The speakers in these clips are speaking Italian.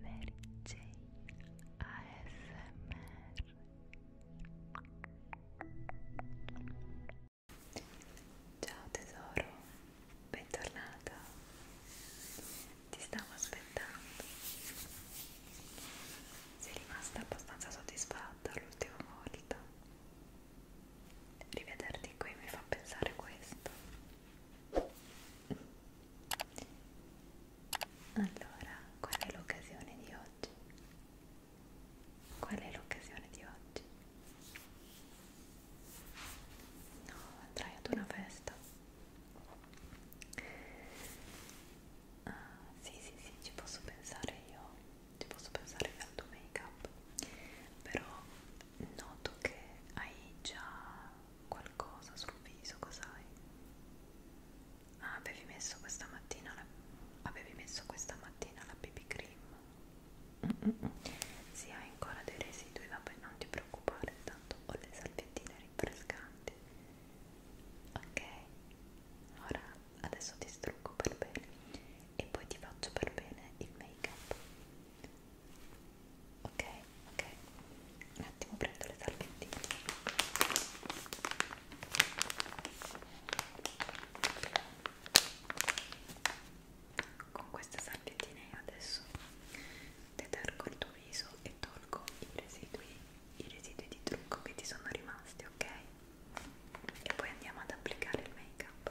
Mary J ASMR Ciao tesoro, bentornata. Ti stavo aspettando. Sei rimasta abbastanza soddisfatta l'ultima volta. Rivederti qui mi fa pensare questo. Allora, qual è l'occasione di oggi? Qual è l'occasione di oggi? No, andrai ad una festa. Ah, sì, sì, sì, ci posso pensare io, ci posso pensare io al tuo make-up, però noto che hai già qualcosa sul viso, cos'hai? Ah, avevi messo questa mattina la, avevi messo questa mattina la BB cream? Mm -mm. Si sì, hai ancora dei residui, vabbè non ti preoccupare, tanto ho le salviettine rinfrescanti. Ok, ora adesso ti strucco per bene e poi ti faccio per bene il make up ok ok un attimo prendo le salvettine con queste salvettine adesso detergo il tuo viso e tolgo i residui i residui di trucco che ti sono rimasti ok e poi andiamo ad applicare il make up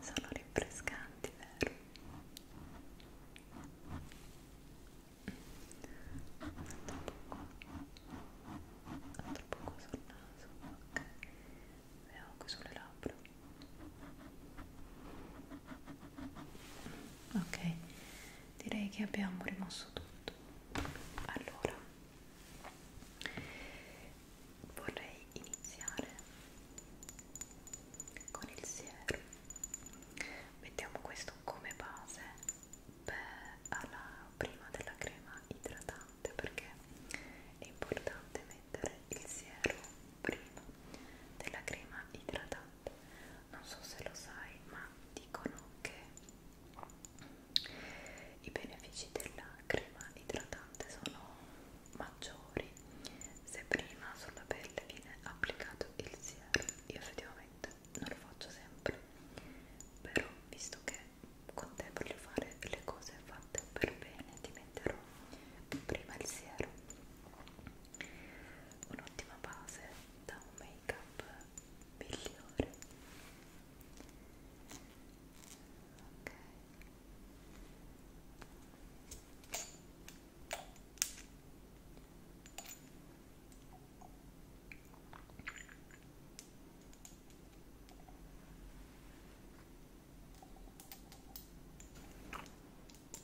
Sono rinfrescanti, vero? Altro poco sul naso, ok? E anche sulle labbra ok direi che abbiamo rimosso tutto allora vorrei iniziare con il siero mettiamo questo come base per, alla, prima della crema idratante perché è importante mettere il siero prima della crema idratante non so se lo sai ma dicono che i benefici della crema idratante sono maggiori se prima sulla pelle viene applicato il siero io effettivamente non lo faccio sempre però visto che con te voglio fare le cose fatte per bene ti metterò prima il siero un'ottima base da un make up migliore ok questa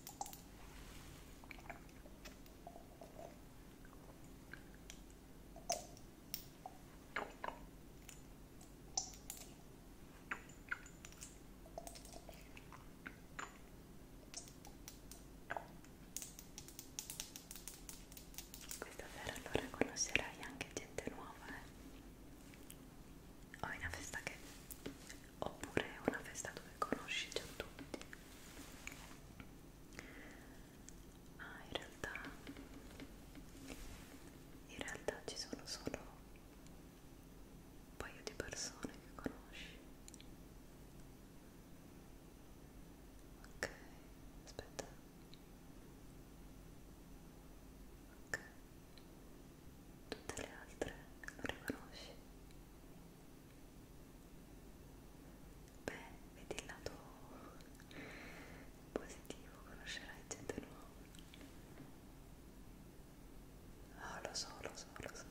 sera allora conoscerai anche gente nuova. Eh? Ho una festa che oppure una festa dove conosci già tutti ah in realtà in realtà ci sono solo un paio di persone che conosci ok aspetta ok tutte le altre non riconosci beh, vedi il lato positivo conoscerai gente nuova oh, lo so, lo so, lo so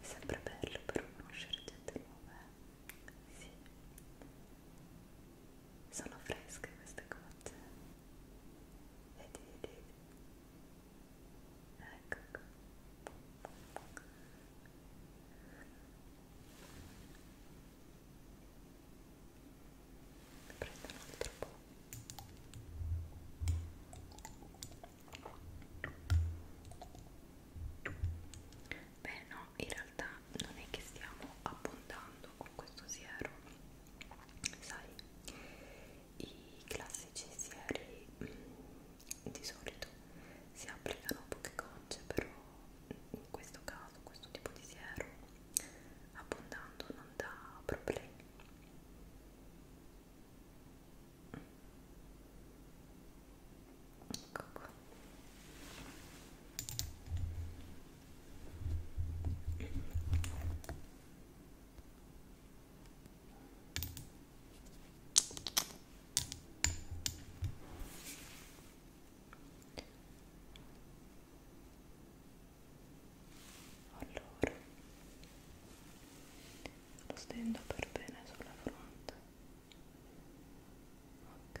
è sempre bello però conoscere gente nuova eh? sì sono fresche queste cose vedi, vedi ecco qua. prendo un altro po' beh no, in realtà non è che stiamo abbondando con questo siero sai i classici sieri mh, mm, di solito si applicano poche gocce però in questo caso questo tipo di siero abbondando non dà problemi ecco qua allora lo stendo per bene sulla fronte. Ok.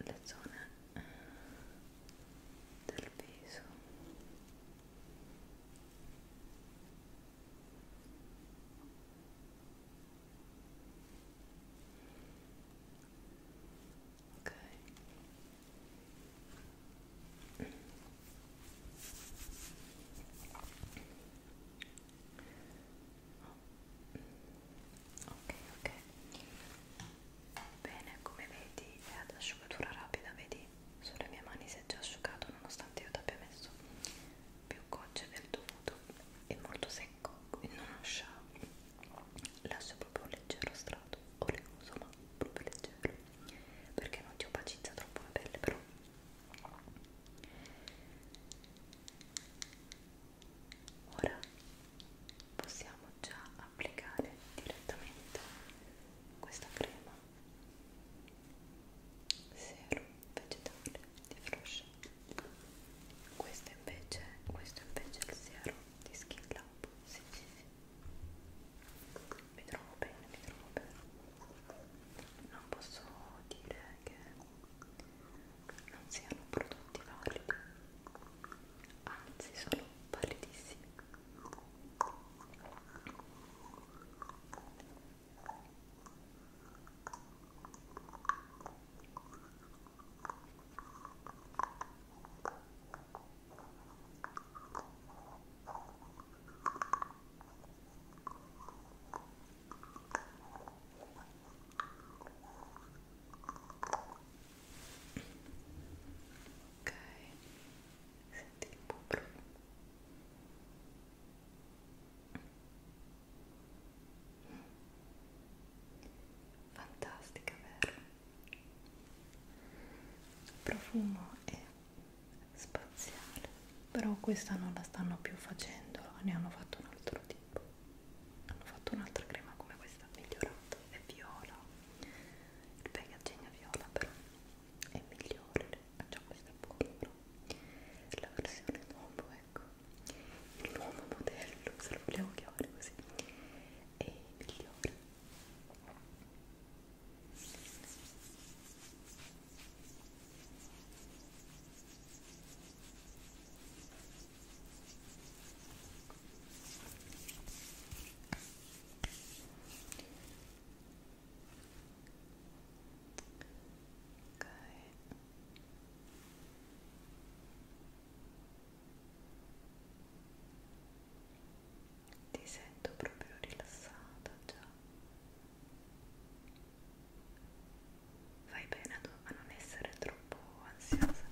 le zone eh, del viso ok ok ok bene come vedi è ad asciugatura rapida vedi sulle mie mani si è già asciugato nonostante io ti abbia messo più gocce del dovuto è molto secco quindi non lascia lascia proprio un leggero strato oleoso ma proprio leggero perché non ti opacizza troppo la pelle però Ora possiamo già applicare direttamente questa crema serum vegetale di Frosh. Questo invece, questo invece è il serum di Skin Lab. Sì, sì, sì. Mi trovo bene, mi trovo bene. Non posso dire che non siano prodotti validi anzi sono validissimi ok senti il buon profumo fantastica vero? il profumo è spaziale però questa non la stanno più facendo ne hanno fatto un altro tipo hanno fatto un'altra crema come questa migliorata è viola il packaging è viola però è migliore già questa è buona però la versione nuovo ecco il nuovo modello se lo vogliamo chiamare così è migliore ti sento proprio rilassata già fai bene a non essere troppo ansiosa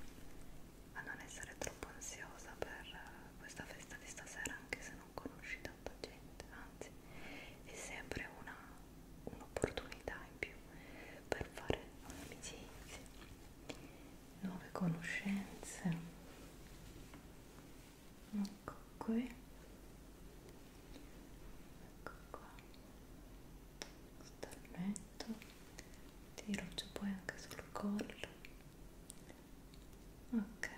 a non essere troppo ansiosa per eh, questa festa di stasera anche se non conosci tanta gente anzi è sempre un'opportunità un in più per fare amicizie nuove conoscenze ecco qui ecco qua starmento tiro giù poi anche sul collo ok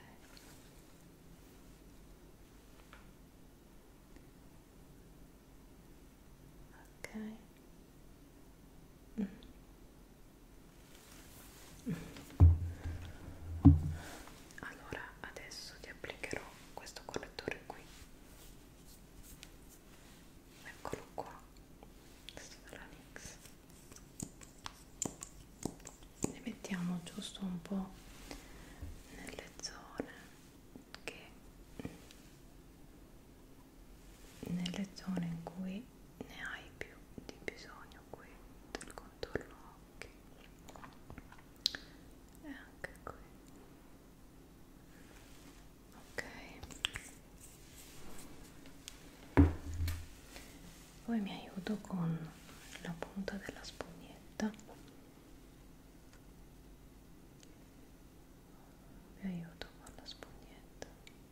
ok mm. allora adesso ti applicherò questo correttore qui eccolo qua questo della NYX ne mettiamo giusto un po' nelle zone che nelle zone in cui ne hai più di bisogno qui del contorno occhi e anche qui ok poi mi aiuto con la punta della spugnetta vi aiuto con la spugnetta ecco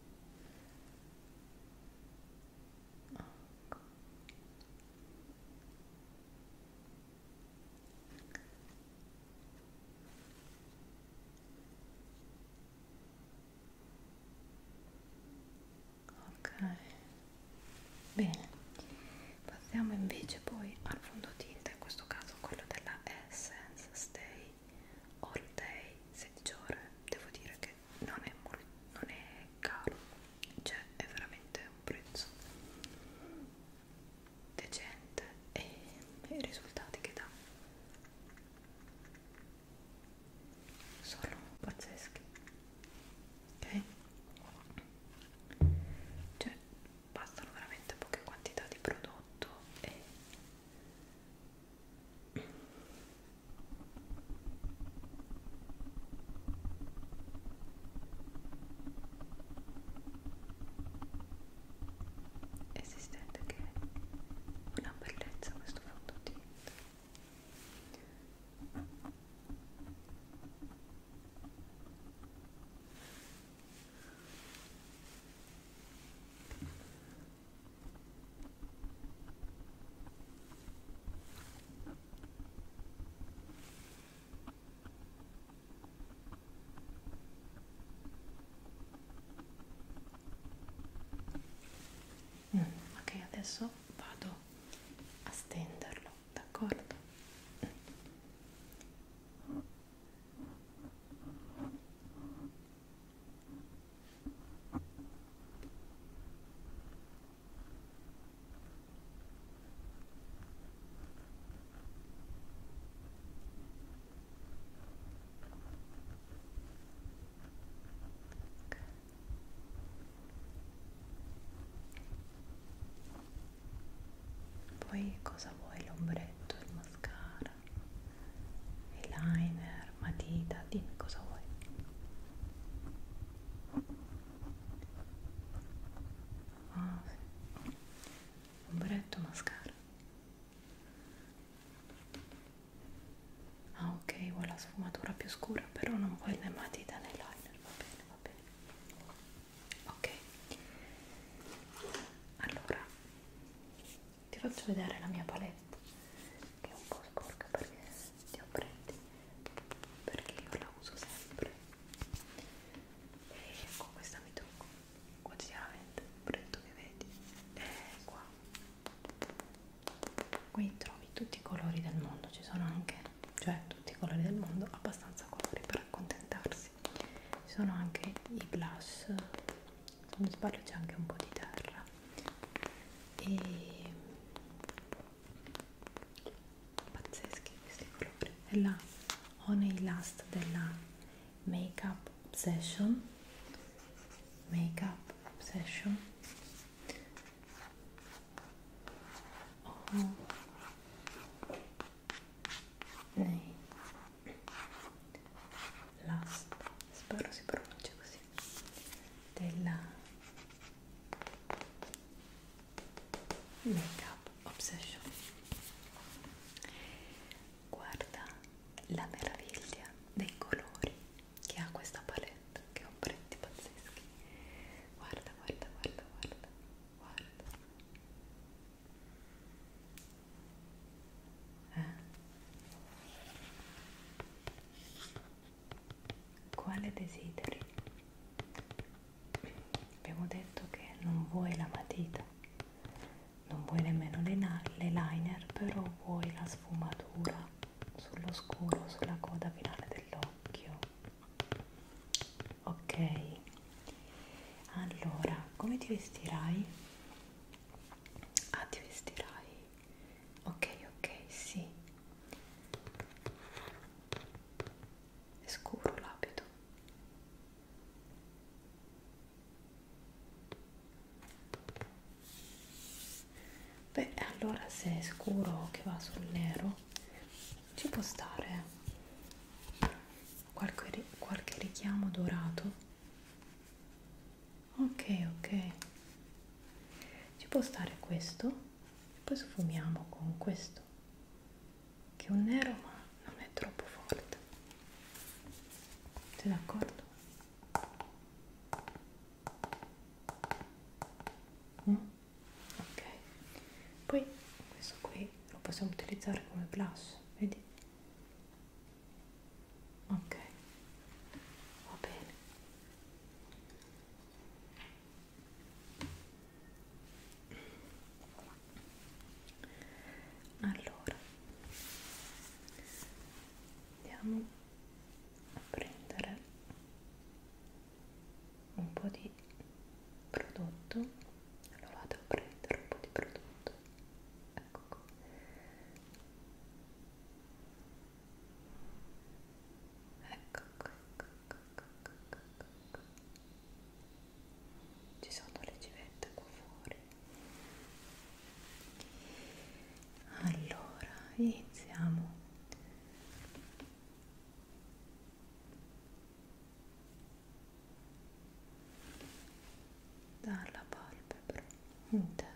ok bene passiamo invece poi al fondotinta in questo caso quello della Essence Stay All Day 16 ore devo dire che non è, non è caro cioè è veramente un prezzo decente e i risultati che dà sono pazzeschi ok cioè bastano veramente poche quantità di prodotto e esistente che è una bellezza questo fondotinta Mm, ok, adesso vado a stenderlo, d'accordo? Mm. Poi cosa vuoi? L'ombretto, il mascara, il liner, matita, dimmi cosa vuoi. Ah, sì ombretto mascara ah ok vuoi la sfumatura più scura però non vuoi le matita né liner va bene va bene ok allora ti faccio vedere la mia palette che è un po' sporca perché ti ho prendi perché io la uso sempre e con ecco, questa mi tocco quotidianamente pretto che vedi e qua qui trovi tutti i colori del mondo ci sono anche cioè tutti i colori del mondo abbastanza colori per accontentarsi ci sono anche i blush se non sbaglio c'è anche un po' di terra e pazzeschi questi colori e là ho nei last della make up obsession make up obsession ho oh. nei last spero si pronuncia così della Makeup Obsession guarda la meraviglia dei colori che ha questa palette che ho pretti pazzeschi guarda guarda guarda guarda guarda eh? Quale desideri? abbiamo detto che non vuoi la matita non vuoi nemmeno le, le liner però vuoi la sfumatura sullo scuro sulla coda finale dell'occhio ok allora come ti vestirai ah ti vestirai ok ok sì è scuro l'abito beh allora se è scuro che va sul nero ci può stare qualche, qualche richiamo dorato ok ok ci può stare questo poi sfumiamo con questo questo che è un nero ma non è troppo forte sei d'accordo? Mm? ok poi questo qui lo possiamo utilizzare come blush vedi? ok va bene allora andiamo a prendere un po' di prodotto allora vado a prendere un po' di prodotto ecco qua ecco qua, ecco qua, ecco qua, ecco qua. Ecco, ecco, ecco, ci sono le civette qua fuori allora iniziamo dalla palpebra interna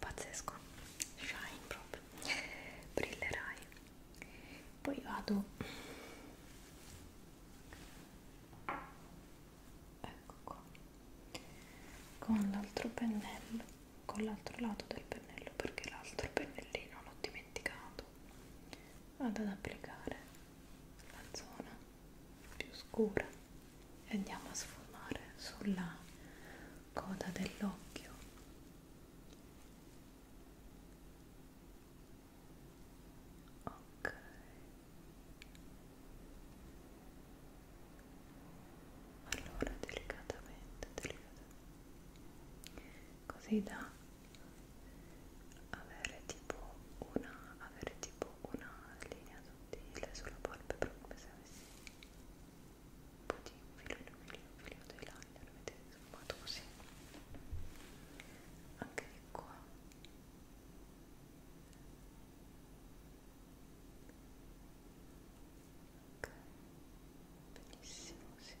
pazzesco shine proprio brillerai poi vado ecco qua con l'altro pennello con l'altro lato del pennello perché l'altro pennellino l'ho dimenticato vado ad applicare la zona più scura e andiamo a sfumare sulla coda dell'occhio ok allora delicatamente, delicatamente così da avere tipo una avere tipo una linea sottile sulla polpebra come se avessi un po' di un filo di un filo, un filo di liner vedete sfumato così anche di qua ok benissimo sì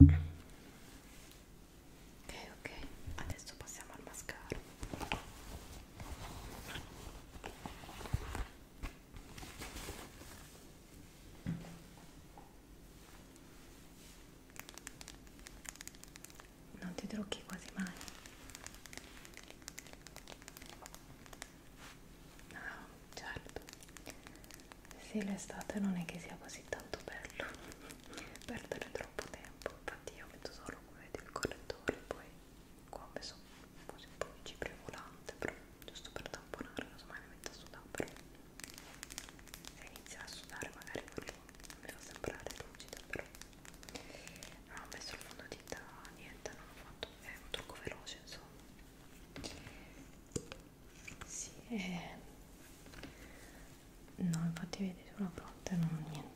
ok ok adesso passiamo al mascara non ti trucchi quasi mai no certo sì l'estate non è che sia così tanto bello perdere troppo tempo infatti io metto solo come vedete il correttore poi qua ho messo così un po' di cipria volante però giusto per tamponare casomai mi metto a sudare però se inizia a sudare magari quello mi fa sembrare lucida però non ho messo il fondotinta niente non ho fatto è un trucco veloce insomma sì, eh. no, infatti vedi sulla fronte non ho niente.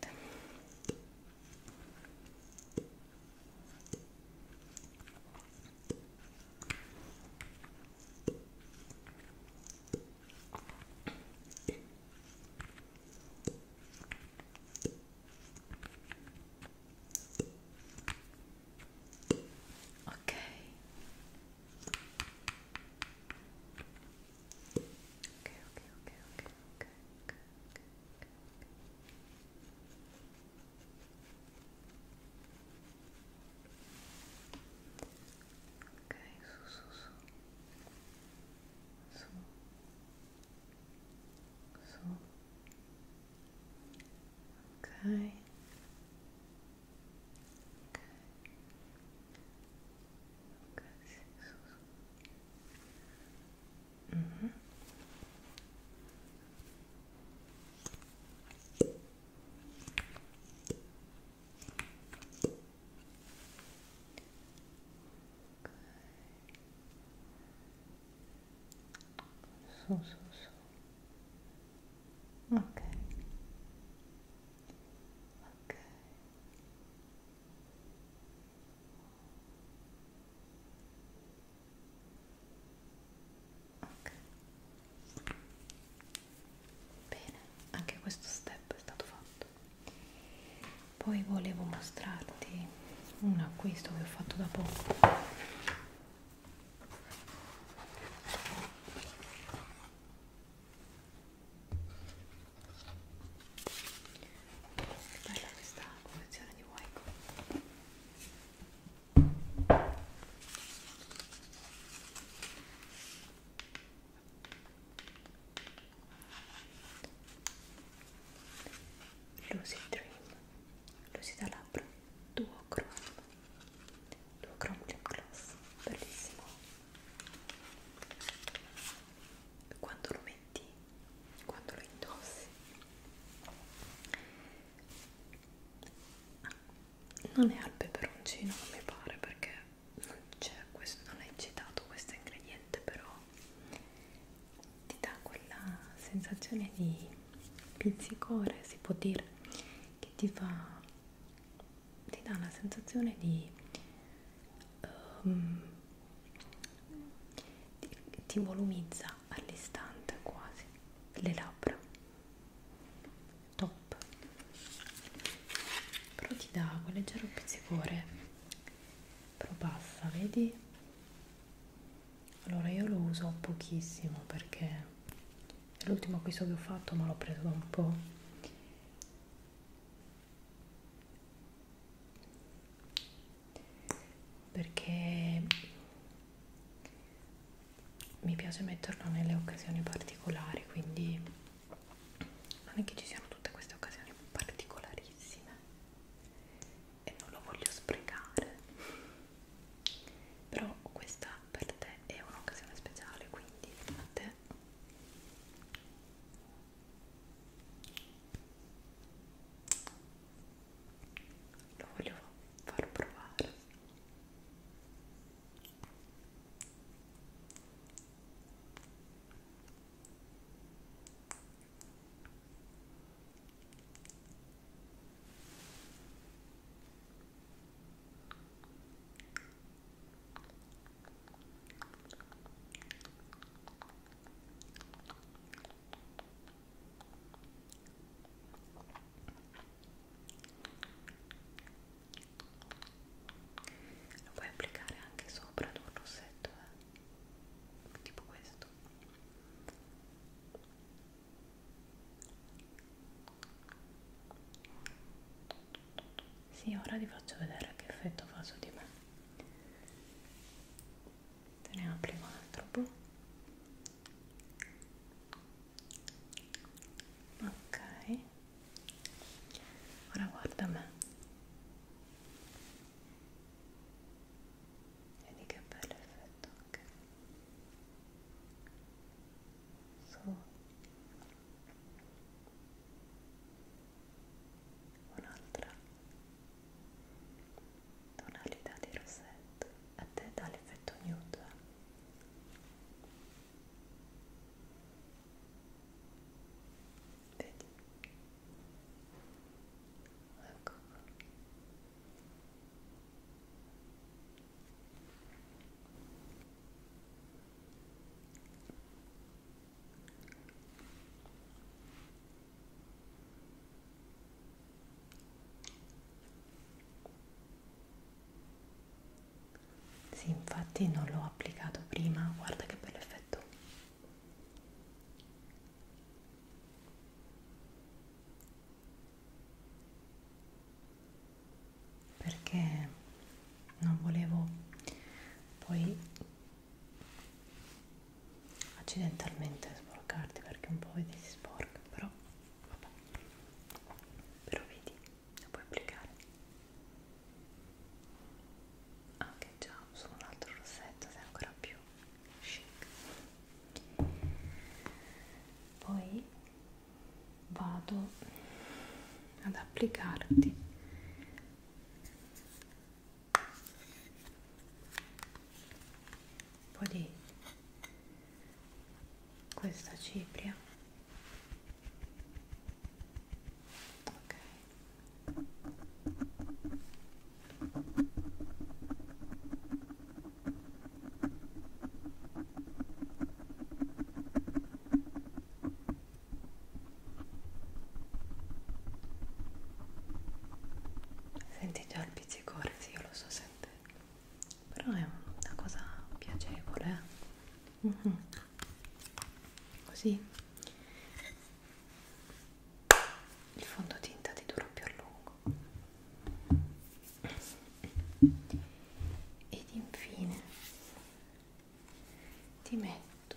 Okay. Okay, okay, okay, okay, okay, okay, So. So. So. Okay. Okay. Mm -hmm. Okay. su su su ok ok ok bene anche questo step è stato fatto poi volevo mostrarti un acquisto che ho fatto da poco che bella questa confezione di Waiko. Lucid Dream, lucida labbra duochrome duochrome lip gloss bellissimo quando lo metti quando lo indossi non è al peperoncino non mi pare perché non c'è questo non è citato questo ingrediente però ti dà quella sensazione di pizzicore si può dire che ti fa ti dà la sensazione di, um, ehm, di ti volumizza all'istante quasi le labbra top però ti dà quel leggero pizzicore però passa vedi allora io lo uso pochissimo perché è l'ultimo acquisto che ho fatto ma l'ho preso da un po' perché mi piace metterlo nelle occasioni particolari quindi non è che ci siano tutte queste occasioni particolarissime e non lo voglio sprecare però questa per te è un'occasione speciale quindi a te lo voglio far provare lo puoi applicare anche sopra ad un rossetto, eh? tipo questo. Sì, ora vi faccio vedere che effetto fa su di me. Te ne apri un altro po'. Boh. Ok. Ora guarda me. Vedi che bello effetto anche un'altra tonalità di rosetto a te dà l'effetto nude vedi ecco sì, infatti non l'ho applicato prima, guarda che bell'effetto perché non volevo poi accidentalmente sporcarti perché un po' vedi si sporca però vabbè però vedi la puoi applicare anche ah, già su un altro rossetto sei ancora più chic poi vado ad applicarti un po' di questa cipria ok Senti già il pizzicore, sì, io lo so sentire, però è una cosa piacevole, eh? mm -hmm. così il fondotinta ti dura più a lungo ed infine ti metto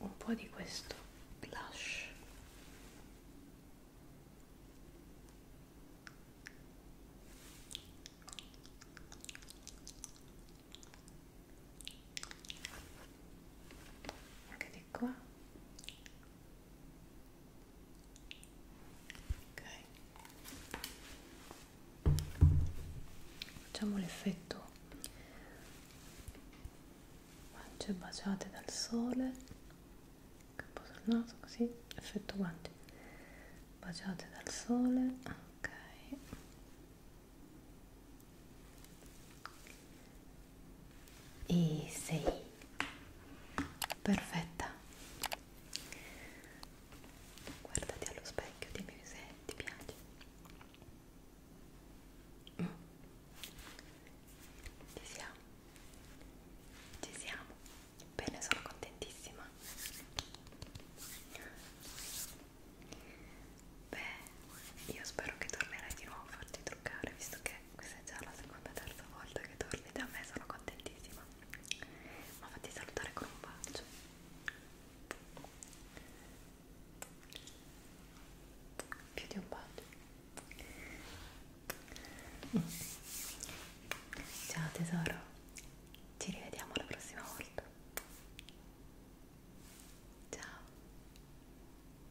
un po' di questo blush anche di qua ok facciamo l'effetto guance baciate dal sole capo sul naso così effetto guance baciate dal sole ok e sei perfetta guardati allo specchio dimmi se ti piace mm. ci siamo ci siamo bene sono contentissima Beh, io spero che tornerai di nuovo a farti truccare, visto che questa è già la seconda e terza volta che torni da me, sono contentissima. Ma fatti salutare con un bacio. Più di un bacio. Mm. Ciao tesoro, ci rivediamo la prossima volta. Ciao.